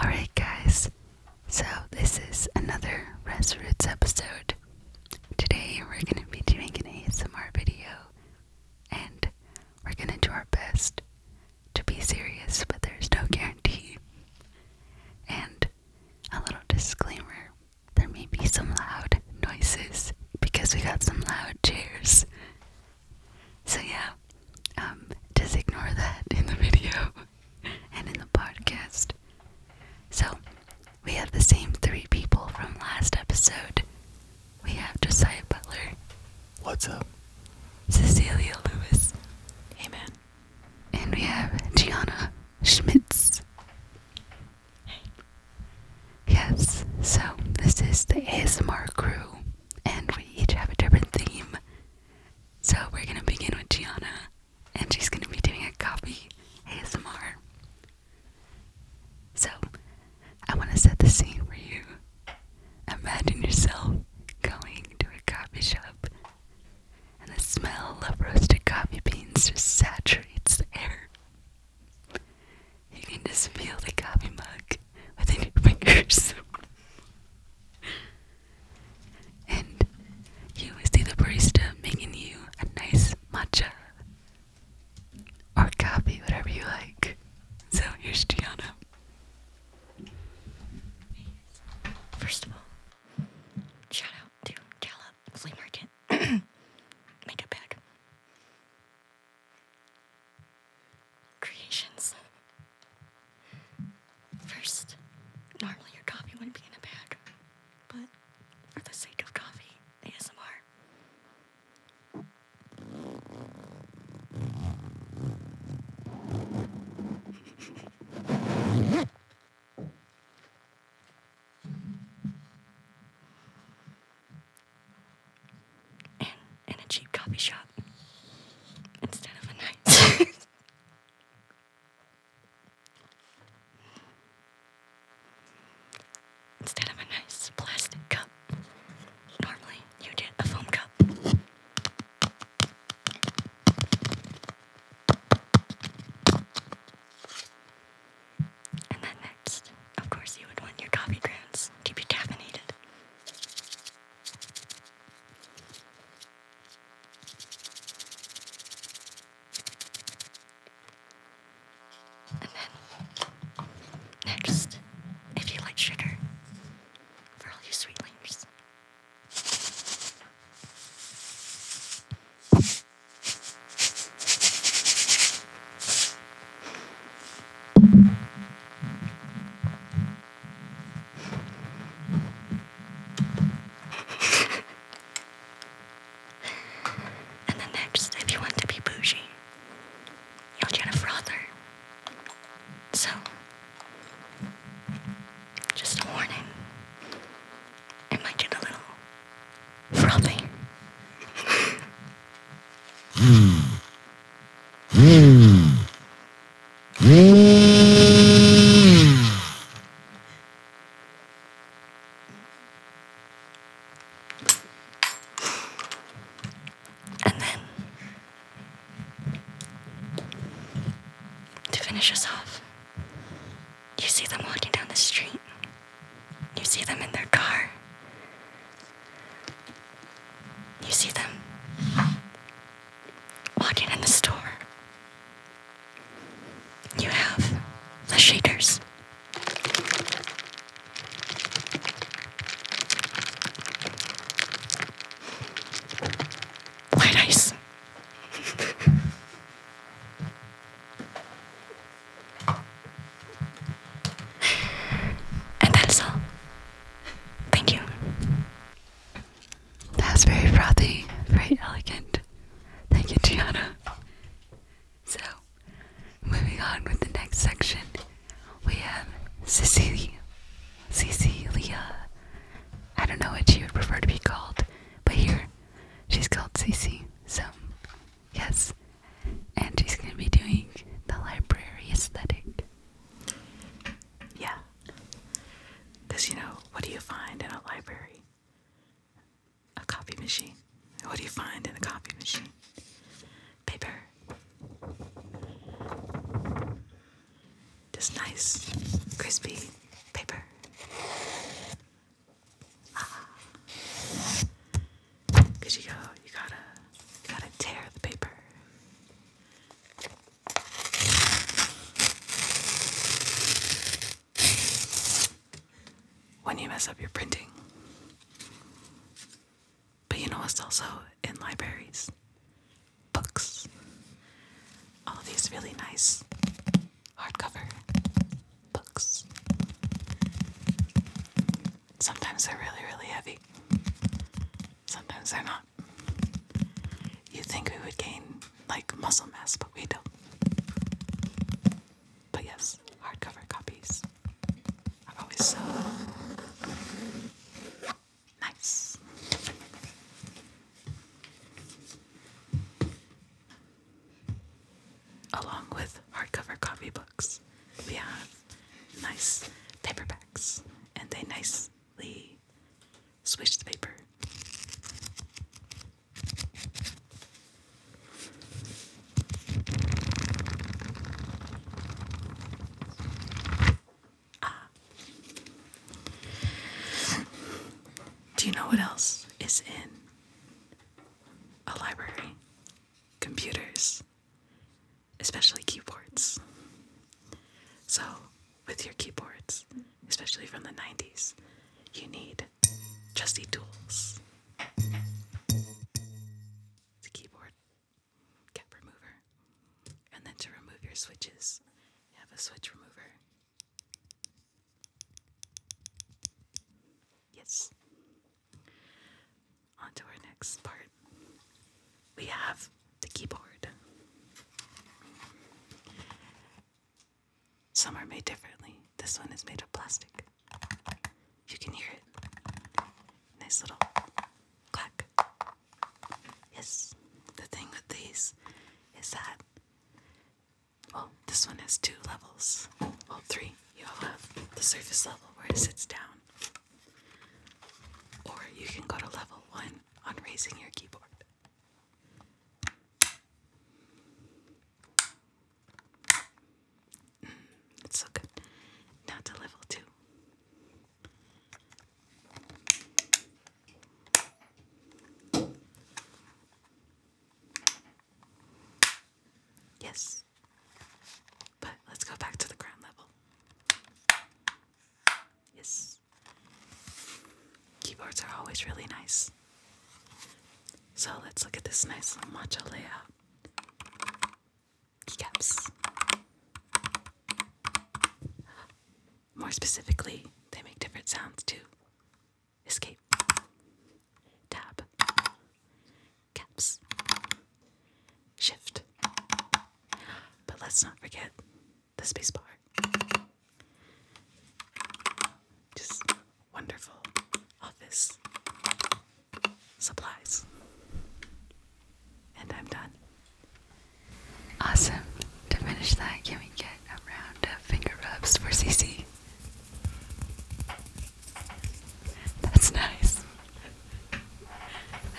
Alright, guys, so this is another Rest Roots episode. Today we're going to be doing an ASMR video, and we're going to do our best to be serious, but there's no guarantee. And a little disclaimer there may be some loud noises because we got some loud chairs. So yeah, um, just ignore that in the video and in the podcast. So we have the same three people from last episode. We have Josiah Butler. What's up? Cecilia Lewis. Hey And we have Gianna Schmitz. Hey. Yes, so this is the ASMR crew, and we each have a different theme so we're gonna begin with Gianna, and she's gonna be doing a copy ASMR. So I wanna set the scene for you. Imagine yourself going to a coffee shop, and the smell of roasted coffee beans just saturates the air. You can just feel the coffee mug with your fingers and you see the barista making you a nice matcha or coffee, whatever you like. So here's Gianna. First of all, shout out to Gallup Flea Market. Make it creations. First, normally your coffee wouldn't be in a bag, but for the sake of coffee, ASMR and in a cheap coffee shop instead of a night. Instead of a nice plastic cup, normally you get a foam cup. And then next, of course, you would want your coffee grounds to be caffeinated. And then, next, if you like sugar, for all you sweetlings and then next, if you want to be bougie, you'll get frother. So, just a warning. It a little frothy. Mm. Mm. And then, to finish us off, you see them walking down the street. You see them in their car. You see them walking in the store. You have the shaders. White ice. and that is all. Thank you. That's very frothy, very elegant. Thank you, Tiana. So, moving on with the next section, we have Cecilia. Cecilia. I don't know what she would prefer to be called, but here she's called Cece. So, yes. And she's going to be doing the library aesthetic. Yeah. Because, you know, what do you find in a library? A copy machine. What do you find in a copy machine? Paper. Just nice, crispy paper. Ah. Cause you go, you gotta, you gotta tear the paper when you mess up your printing. But you know what's also in libraries? Books. All these really nice hardcover books. Sometimes they're really, really heavy. Sometimes they're not. you think we would gain like muscle mass, but we don't. But yes, hardcover copies are always so nice. Along with hardcover copy books, we have nice paperbacks, and they nicely swish the paper. Ah. Do you know what else is in a library? Computers especially keyboards. So, with your keyboards, especially from the 90s, you need trusty tools. The keyboard, cap remover, and then to remove your switches, you have a switch remover. Yes on our next part. We have the keyboard. Some are made differently. This one is made of plastic. You can hear it. Nice little clack. Yes, the thing with these is that, well, this one has two levels. Well, three. You all have the surface level where it sits down, or you can go to level one on raising your keyboard. Mm, it's so good. Now to level two. Yes, but let's go back to the ground level. Yes. Keyboards are always really nice. So let's look at this nice little Keycaps. More specifically, they make different sounds too. Escape. Tab caps. Shift. But let's not forget the space bar. Just wonderful office supplies. And I'm done. Awesome. To finish that, can we get a round of finger rubs for CC? That's nice.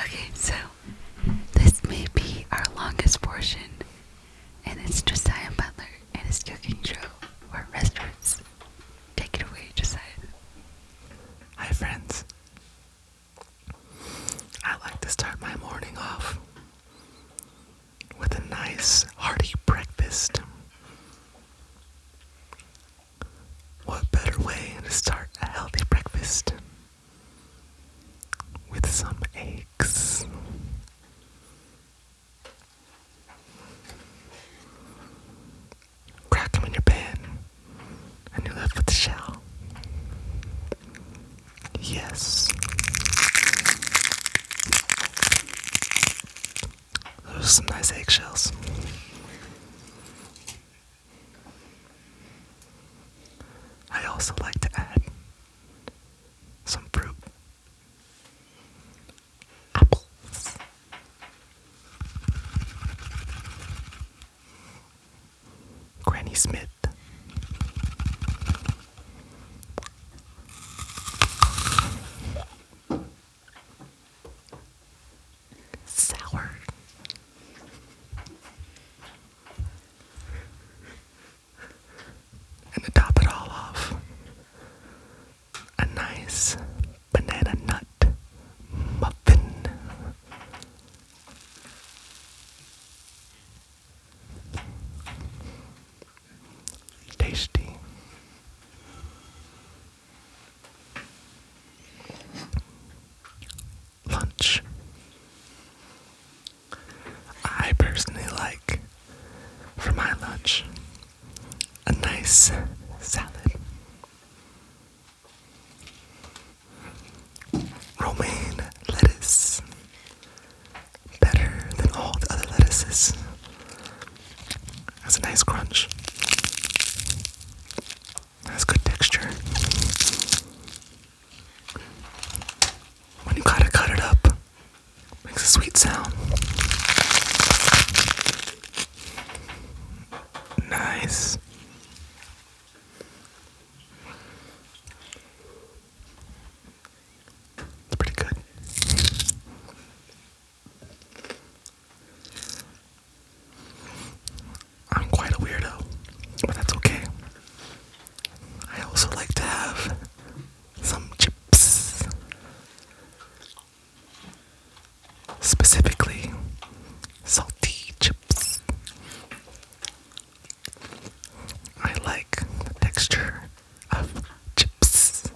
Okay, so this may be our longest portion, and it's Josiah Butler and his cooking show or restaurants. Take it away, Josiah. Hi, friends. I like to start my morning off with a nice hearty breakfast. What better way to start a healthy breakfast with some eggs? Crack them in your pan and you're left with the shell. Yes. Those are some nice eggshells. I also like to add some fruit. Apples. Granny Smith. Sour. And to top it all off, a nice banana nut muffin. Tasty. Lunch. I personally like for my lunch a nice salad, romaine lettuce, better than all the other lettuces. That's a nice crunch. That's good texture. When you kind of cut it up, makes a sweet sound. Nice. It's pretty good. I'm quite a weirdo, but that's okay. I also like to have some chips. Specifically, salty chips. I like the texture of chips.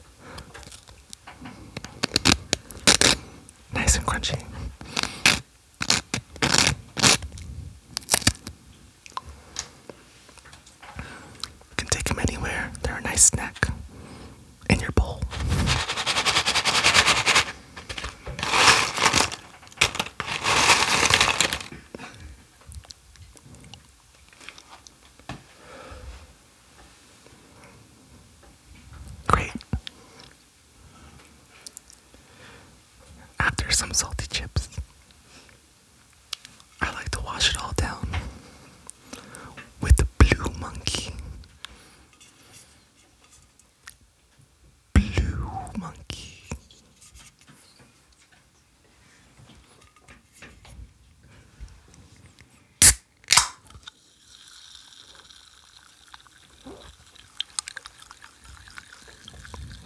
Nice and crunchy can take them anywhere. They're a nice snack in your bowl. Great. After some salty chips, I like to wash it all down with the blue monkey. Blue monkey.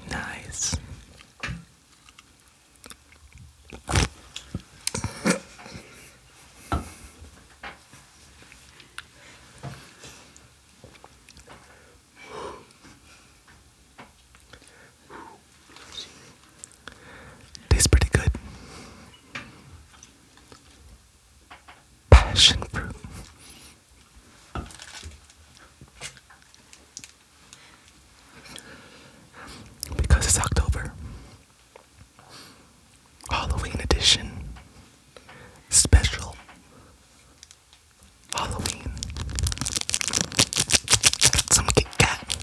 Nice. Tastes pretty good. Passion fruit. Because it's October. Halloween edition. Special. Halloween. Some Kit Kat.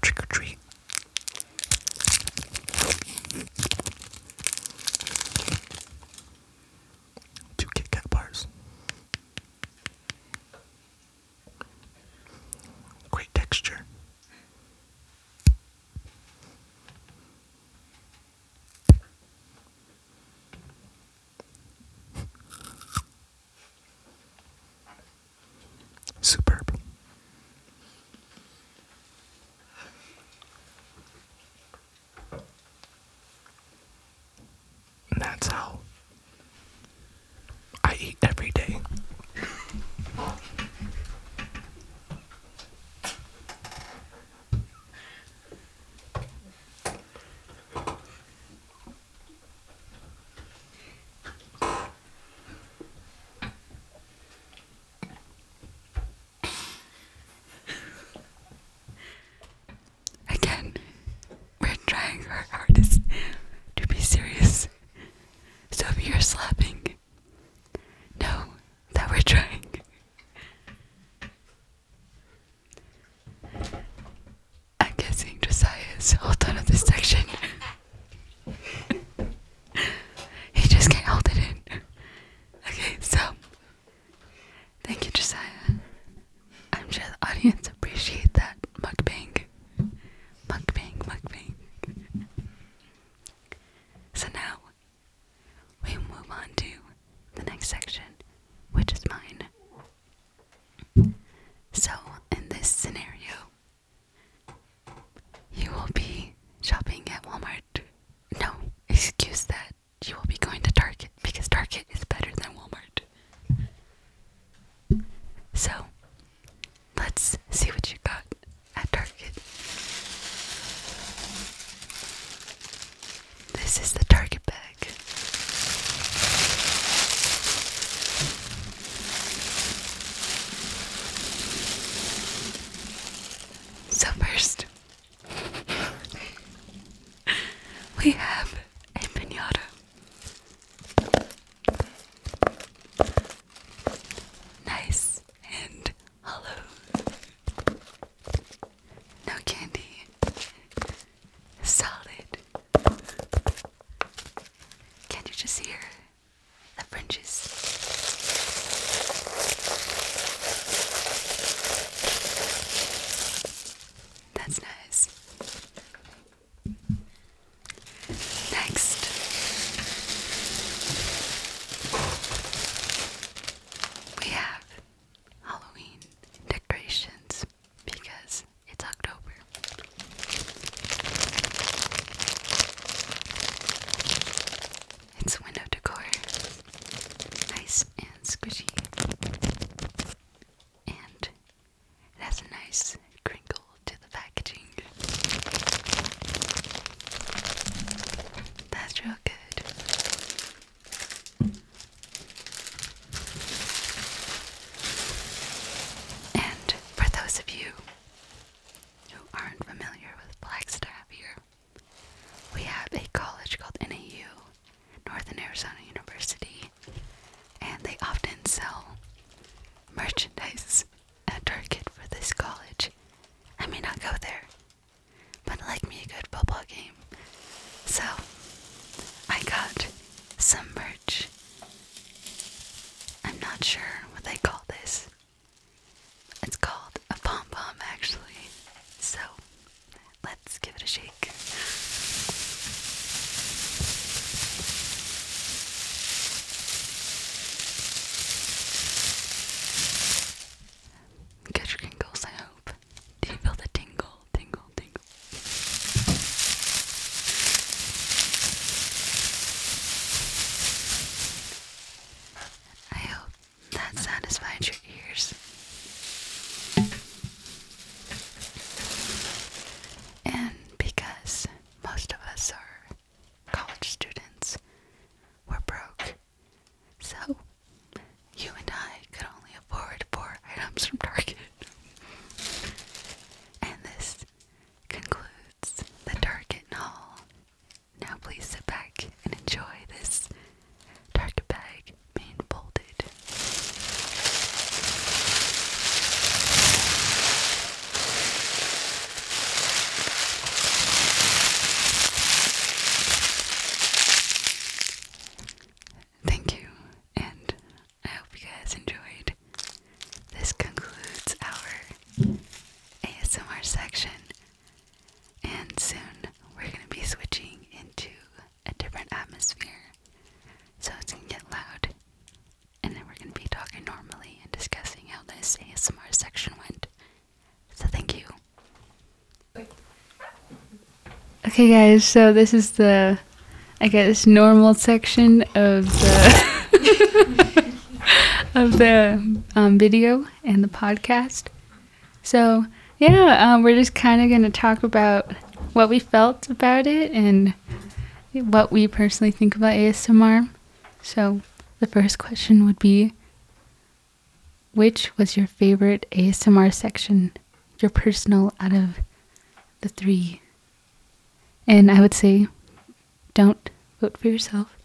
Trick or treat. Two Kit Kat bars. Great texture. Superb. that's how I eat every day. Again, we're trying our hardest to be serious. So if you're slapping, know that we're trying. I'm guessing Josiah is all done with this section. he just can't hold it in. Okay, so thank you, Josiah. I'm sure the audience appreciate that mukbang, mukbang, mukbang. So now we move on to the next section, which is mine. So in this scenario, you will be shopping at Walmart. No, excuse that. You will be going to Target because Target is better than Walmart. So, let's see what you got at Target. This is the Target bag. So, first, we have a pinata. Nice and hollow. No candy. Solid. can you just hear the fringes. That's nice. Next, we have Halloween decorations because it's October. It's window decor. Nice and squishy. And it has a nice crinkle to the packaging. That's real good. And for those of you who aren't familiar with Flagstaff here, we have a college called NAU, Northern Arizona University, and they often sell merchandise at Target for this college. I may not go there, but like me a good football game. So I got some merch. I'm not sure what they call this. It's called a pom pom, actually. So let's give it a shake. Get your tingles, I hope. Do you feel the tingle, tingle, tingle? I hope that satisfied your ears. And because most of us are college students, we're broke. So you and I could only afford four items from Target. And this concludes the Target haul. Now please sit back and enjoy this Target bag being folded. Thank you, and I hope you guys enjoyed this concludes our ASMR section, and soon we're going to be switching into a different atmosphere so it's going to get loud. And then we're going to be talking normally and discussing how this ASMR section went. So, thank you. Okay, guys, so this is the, I guess, normal section of the. of the um, video and the podcast. So, yeah, um, we're just kind of going to talk about what we felt about it and what we personally think about ASMR. So, the first question would be Which was your favorite ASMR section, your personal out of the three? And I would say don't vote for yourself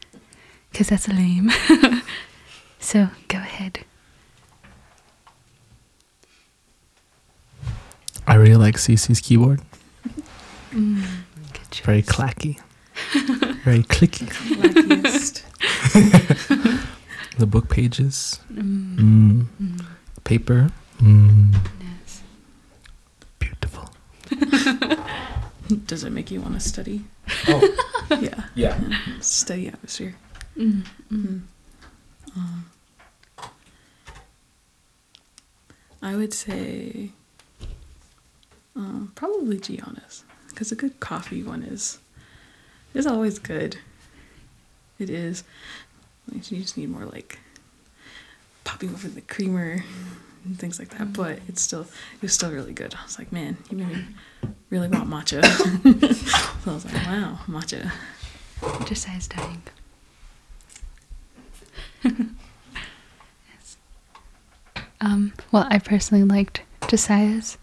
because that's lame. so go ahead. I really like CC's keyboard. Mm, Very clacky. Very clicky. the book pages. Mm. Mm. Paper. Beautiful. Does it make you want to study? Oh. Yeah. yeah. Study atmosphere. Mm-hmm. Mm-hmm. Uh, I would say um, probably Gianna's because a good coffee one is is always good. It is. You just need more like popping over the creamer and things like that. But it's still it was still really good. I was like, man, you made me really want matcha. so I was like, wow, matcha. Josiah's dying. yes. Um, well, I personally liked Josiah's.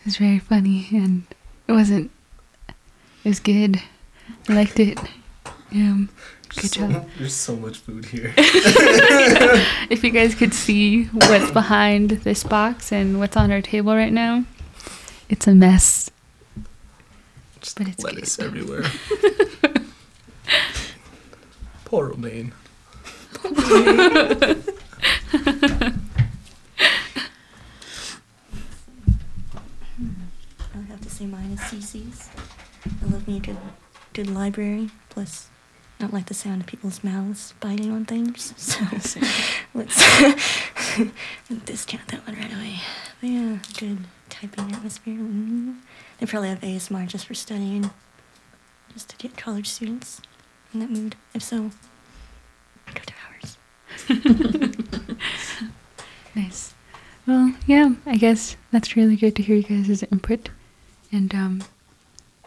It was very funny and it wasn't. It was good. I liked it. Um, yeah. Good job. There's so much food here. if you guys could see what's behind this box and what's on our table right now, it's a mess. Just but it's lettuce everywhere. Poor Romaine. I have to say mine is CC's. I love me too. Good library. Plus, not like the sound of people's mouths biting on things. So let's discount that one right away. yeah, good typing atmosphere. Mm-hmm. They probably have ASMR just for studying, just to get college students in that mood. If so, go to ours. nice. Well, yeah, I guess that's really great to hear you guys' input. And um,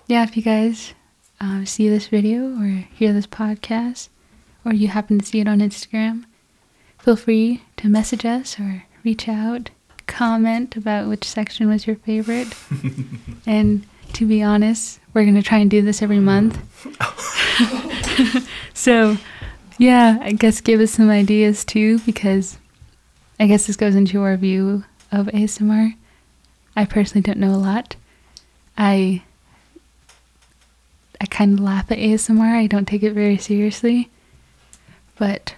yeah, if you guys uh, see this video or hear this podcast, or you happen to see it on Instagram, feel free to message us or reach out, comment about which section was your favorite. and to be honest, we're going to try and do this every month. so, yeah, I guess give us some ideas too, because I guess this goes into our view of ASMR. I personally don't know a lot. I I kind of laugh at ASMR. I don't take it very seriously, but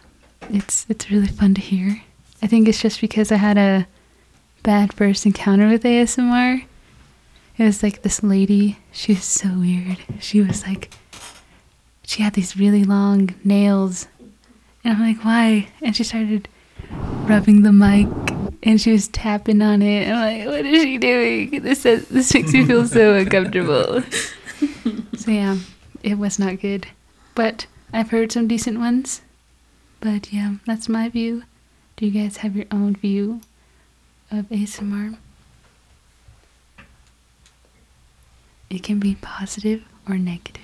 it's it's really fun to hear. I think it's just because I had a bad first encounter with ASMR. It was like this lady, she was so weird. She was like she had these really long nails. And I'm like, why? And she started rubbing the mic and she was tapping on it. I'm like, what is she doing? This this makes me feel so uncomfortable. so yeah, it was not good. But I've heard some decent ones. But yeah, that's my view. Do you guys have your own view of ASMR? It can be positive or negative.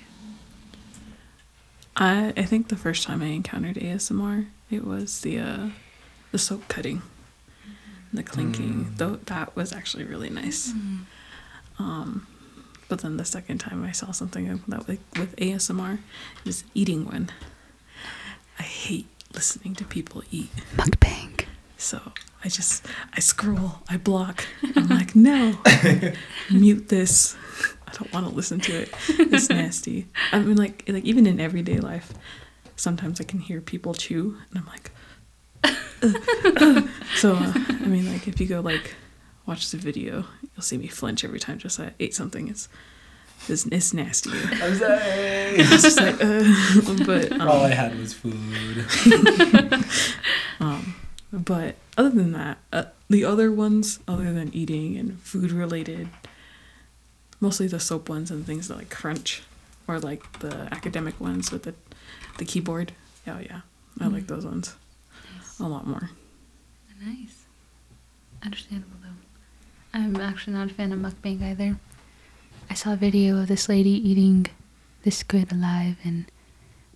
I I think the first time I encountered ASMR, it was the uh, the soap cutting, the clinking. Mm. Though that was actually really nice. Mm-hmm. Um, but then the second time I saw something that with ASMR, just eating one. I hate listening to people eat. Mukbang. So I just I scroll, I block. I'm like, no, mute this. I don't want to listen to it. It's nasty. I mean, like like even in everyday life, sometimes I can hear people chew, and I'm like, so I mean, like if you go like watch the video, you'll see me flinch every time just I ate something. It's it's, nasty. I'm sorry. all I had was food. Um, but other than that, uh, the other ones, other than eating and food related, mostly the soap ones and things that like crunch, or like the academic ones with the the keyboard. Oh yeah, I like mm. those ones a lot more. Nice, understandable though. I'm actually not a fan of mukbang either. I saw a video of this lady eating this good alive and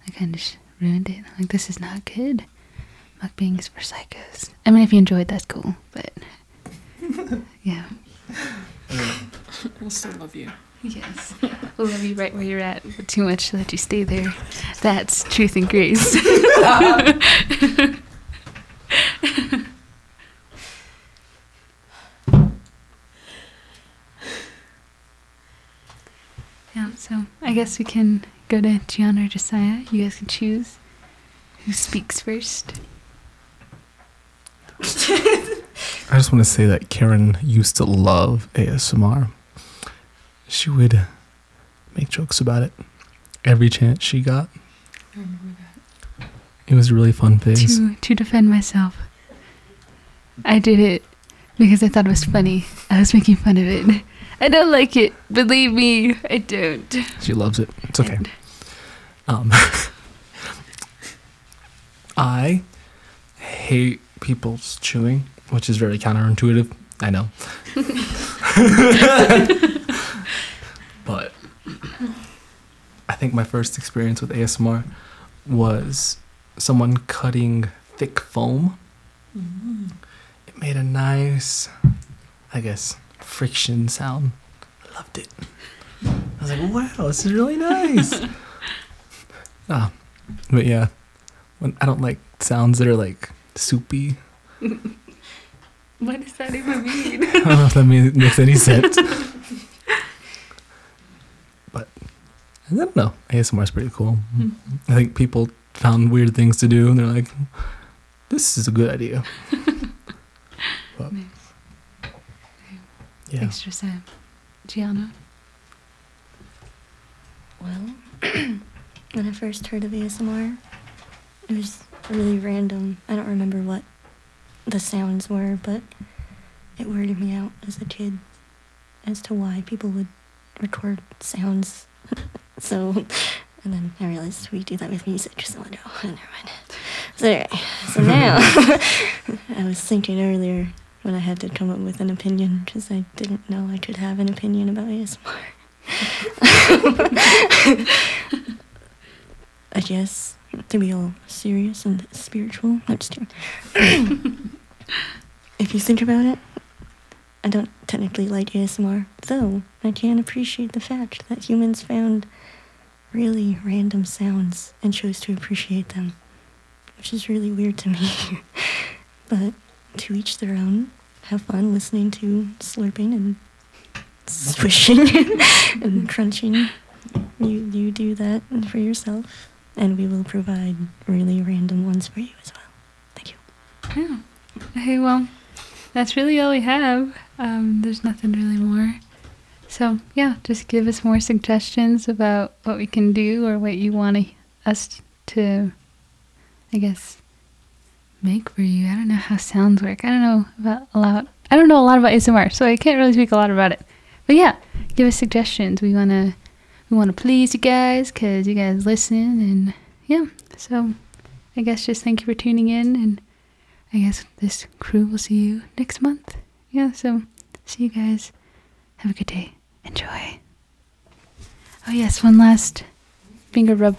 I kind of ruined it. Like, this is not good. being is for psychos. I mean, if you enjoyed, that's cool, but yeah. We'll still love you. Yes. We'll love you right where you're at, but too much to let you stay there. That's truth and grace. Yeah, so I guess we can go to Gian or Josiah. You guys can choose who speaks first. I just want to say that Karen used to love ASMR. She would make jokes about it every chance she got. It was a really fun thing. To, defend myself. I did it because I thought it was funny. I was making fun of it. I don't like it. Believe me, I don't. She loves it. It's okay. um, I hate people's chewing, which is very counterintuitive. I know. but I think my first experience with ASMR was someone cutting thick foam. Mm-hmm. It made a nice, I guess, friction sound. I loved it. I was like, wow, this is really nice. ah, but yeah, when I don't like sounds that are like soupy. what does that even mean? I don't know if that makes any sense. But I don't know. ASMR is pretty cool. Hmm. I think people found weird things to do and they're like, this is a good idea. but, nice. yeah. Extra Sam. Gianna? Well, when I first heard of ASMR, it was really random. I don't remember what the sounds were, but it worried me out as a kid as to why people would record sounds. so, and then I realized we do that with music, so no, never mind. So anyway, so now I was thinking earlier when I had to come up with an opinion because I didn't know I could have an opinion about ASMR. I guess, to be all serious and spiritual. if you think about it, I don't technically like ASMR, though I can appreciate the fact that humans found really random sounds and chose to appreciate them, which is really weird to me. but to each their own. Have fun listening to slurping and swishing and crunching you you do that for yourself, and we will provide really random ones for you as well. Thank you. Yeah. Oh, okay. Well, that's really all we have. Um, there's nothing really more. So yeah, just give us more suggestions about what we can do or what you want us to, I guess, make for you. I don't know how sounds work. I don't know about a lot I don't know a lot about ASMR, so I can't really speak a lot about it. But yeah, give us suggestions. We wanna we wanna please you guys because you guys listen and yeah. So I guess just thank you for tuning in and I guess this crew will see you next month. Yeah, so see you guys. Have a good day. Enjoy. Oh yes, one last finger rub.